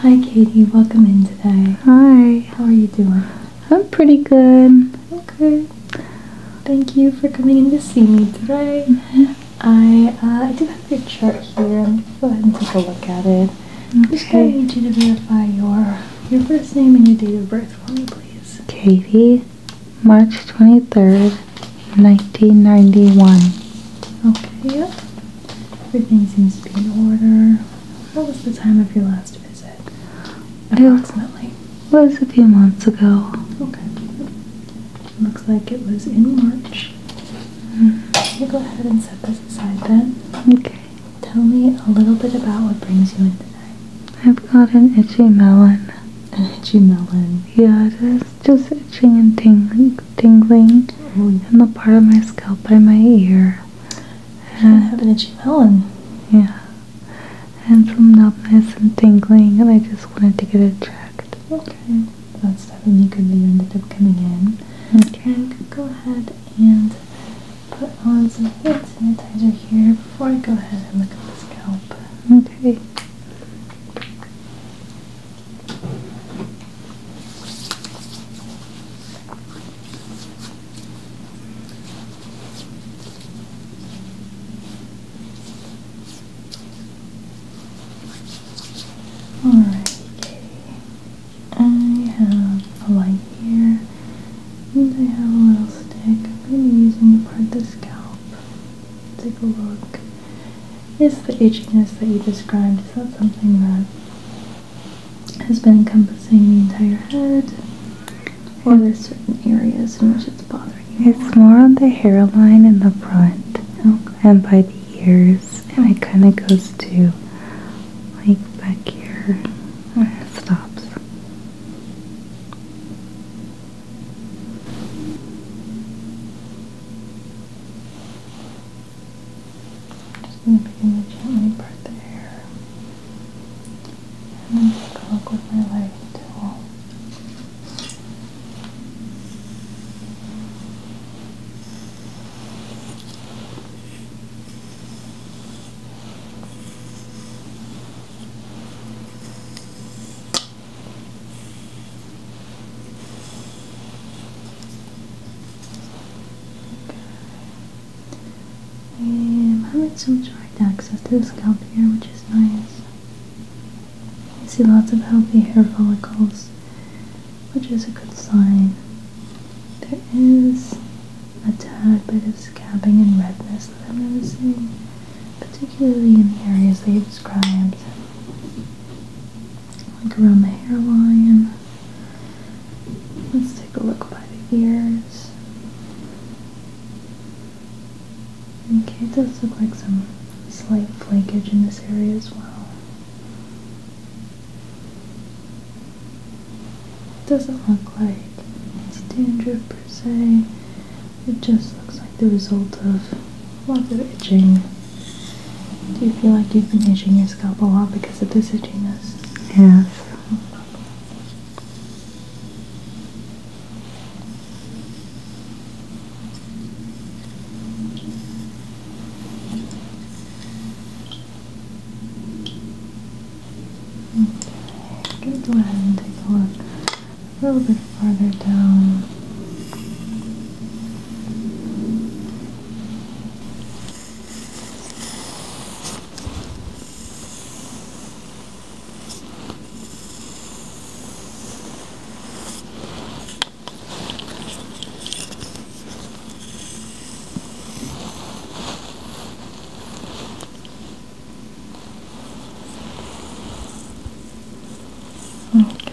Hi Katie, welcome in today. Hi. How are you doing? I'm pretty good. Okay. Thank you for coming in to see me today. Mm-hmm. Uh, I do have a chart here. I'm gonna go ahead and take a look at it. Okay. i just gonna need you to verify your your first name and your date of birth for me, please. Katie March 23rd, 1991. Okay, yep. Everything seems to be in order. What was the time of your last visit? Approximately. It was a few months ago. Okay. Looks like it was in March. You mm-hmm. go ahead and set this aside then. Okay. Tell me a little bit about what brings you in today. I've got an itchy melon. An itchy melon? Yeah, it is just itching and ting tingling mm. in the part of my scalp by my ear. And I have an itchy feeling. Yeah. And some numbness and tingling, and I just wanted to get it checked. Okay. That's definitely good that you ended up coming in. Okay. go ahead and put on some hand sanitizer here before I go ahead and look at the scalp. Okay. Alright, Katie. I have a light here. And I have a little stick. I'm going to be using to part the scalp take a look. Is the itchiness that you described, is that something that has been encompassing the entire head? Or are there certain areas in which it's bothering you? It's more on the hairline in the front and by the ears. And it kind of goes to like back here and stops. Just going to begin the gently part the hair. And then take a look with my lighting tool. I'm having some direct access to the scalp here, which is nice. I see lots of healthy hair follicles, which is a good sign. There is a tad bit of scabbing and redness that I'm noticing particularly in the areas they described, like around the hairline. Let's take a look by the ears. Okay, it does look like some slight flakage in this area as well. Doesn't look like it's dandruff per se. It just looks like the result of a lot of itching. Do you feel like you've been itching your scalp a lot because of this itchiness? Yes. Okay, i go ahead and take a look a little bit farther down. Okay.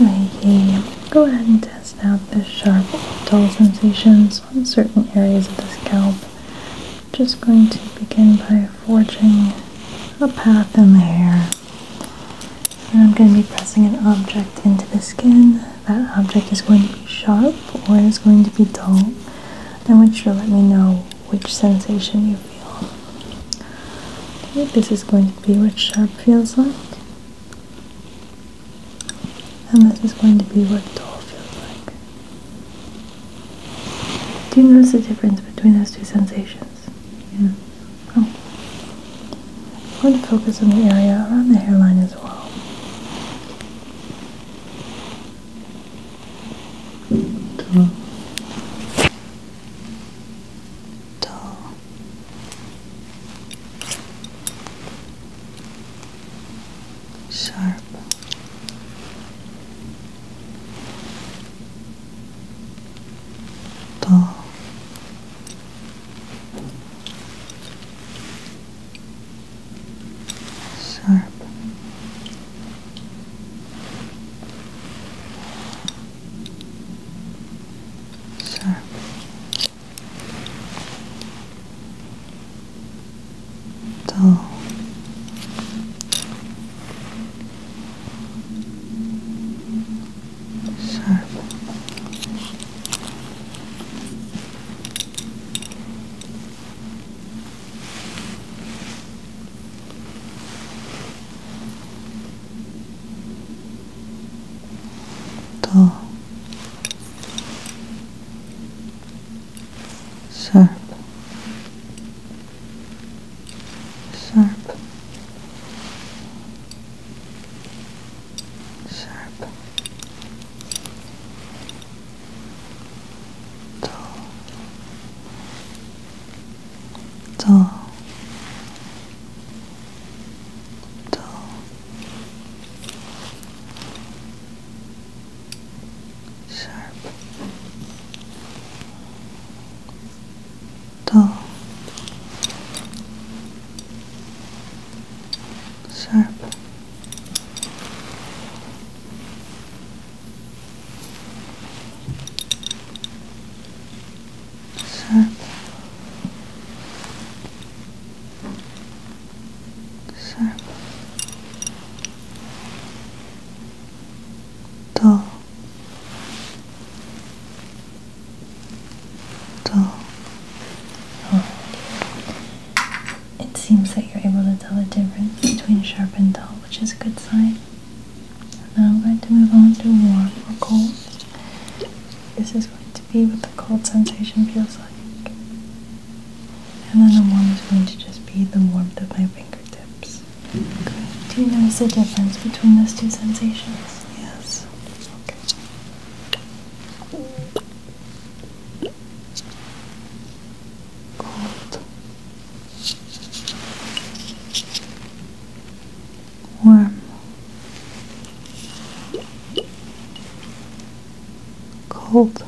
Okay. go ahead and test out the sharp dull sensations on certain areas of the scalp. Just going to begin by forging a path in the hair. And I'm going to be pressing an object into the skin. That object is going to be sharp or is going to be dull. I want you to let me know which sensation you feel. Okay, this is going be what sharp feels like. And this is going to be what dull feels like. Do you notice the difference between those two sensations? Yeah. Oh. I'm going to focus on the area around the hairline as well. Dull dull. Sharp. Dull. Sharp. So. Dull. 더 sharp sharp sharp dull dull, dull. Sharp, dull, sharp, circle, circle, dull, dull. Oh. It seems that you're able to tell the difference between sharp and dull, which is a good sign. Now I'm going to move on to warm or cold. This is going to be what the cold sensation feels like. And then the warm is going to just be the warmth of my fingertips. Mm-hmm. Do you notice the difference between those two sensations? Yes. Cold warm, cold,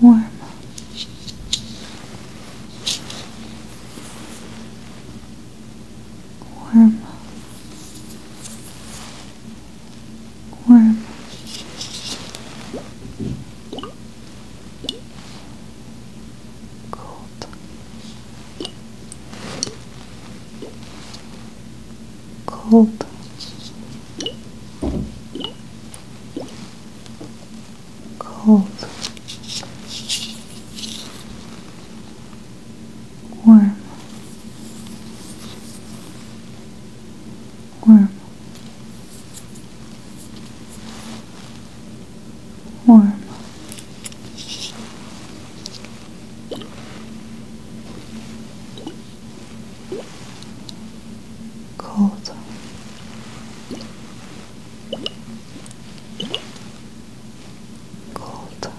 warm. Warm, warm, Cold. gold, gold, warm, warm warm. Cold, cold,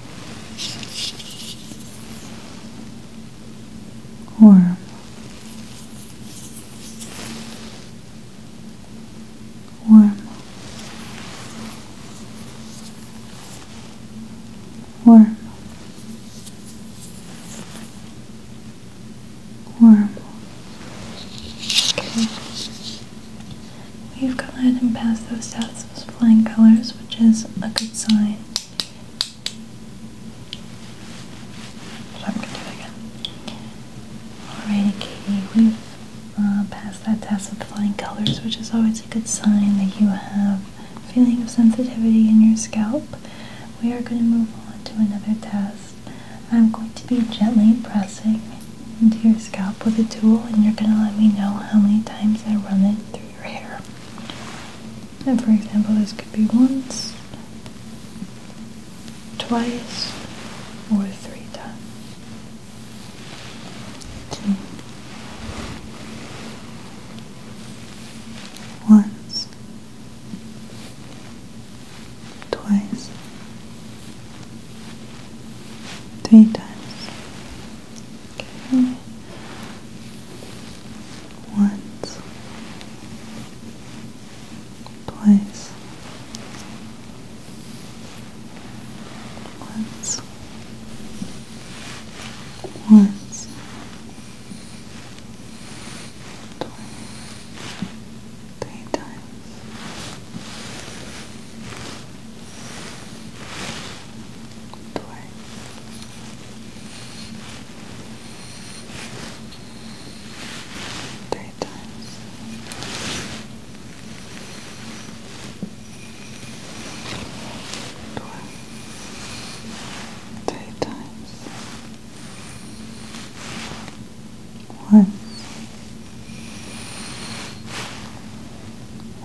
warm, warm, warm, warm. Okay. We've gone ahead and passed those out those flying colors, which is a good sign. So I'm gonna do it again. Alrighty, Katie, we've uh, passed that test with flying colors, which is always a good sign that you have a feeling of sensitivity in your scalp. We are going to move on to another test. I'm going to be gently pressing into your scalp with a tool, and you're going to let me know how many times I run it through your hair. And for example, this could be once, twice or three times. Two. Once. Twice. Three times. Okay. Once place once, once, twice, three times. Twice. Three great Twice. Three times. Once.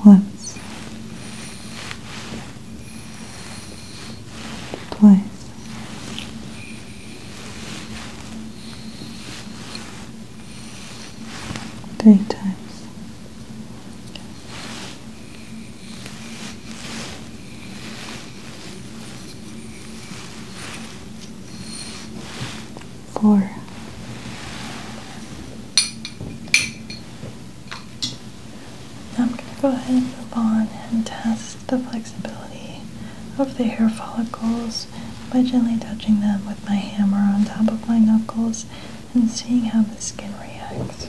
Once. Twice three times. Four. I'm going to go ahead and move on and test the flexibility of the hair follicles by gently touching them with my hammer on top of my knuckles and seeing how the skin reacts.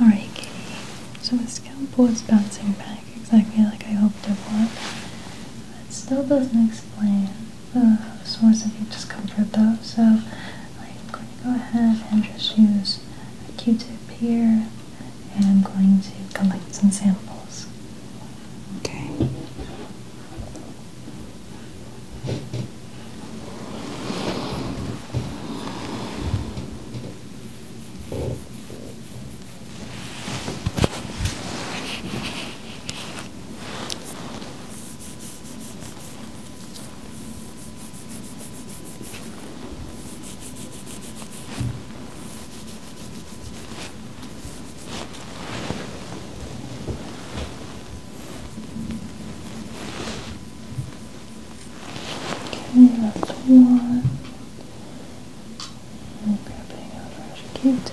Alright, Kitty. So the scalpel's bouncing back exactly like I hoped it would. That still doesn't explain the source of your discomfort though, so I'm going to go ahead and just use a Q-tip here and I'm going to collect some samples. Okay. Okay, that's one. I'm grabbing a fresh cute.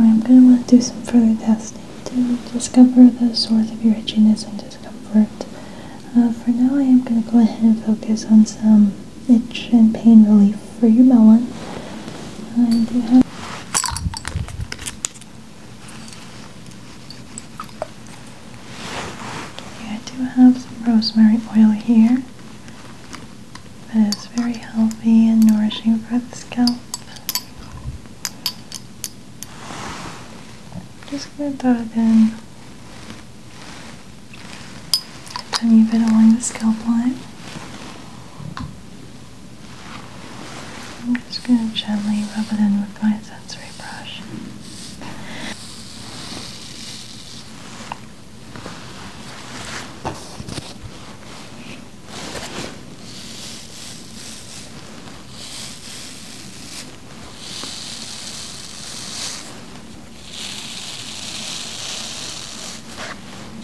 I'm going to want to do some further testing to discover the source of your itchiness and discomfort. Uh, for now, I am going to go ahead and focus on some itch and pain relief for your melon. And you have Okay, I do have some rosemary oil here that is very healthy and nourishing for the scalp. Just gonna dot it in tiny bit along the scalp line. I'm just going to gently rub it in with my sensory brush.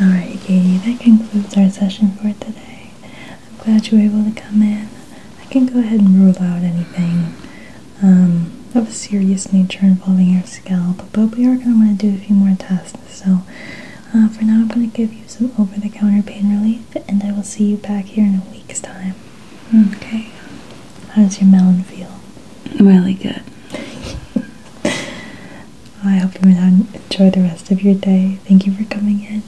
Alright, Katie, that concludes our session for today. I'm glad you were able to come in. I can go ahead and rule out anything um, of a serious nature involving your scalp, but we are going to want to do a few more tests. So, uh, for now, I'm going to give you some over the counter pain relief and I will see you back here in a week's time. Okay. How does your melon feel? Really good. I hope you enjoy the rest of your day. Thank you for coming in.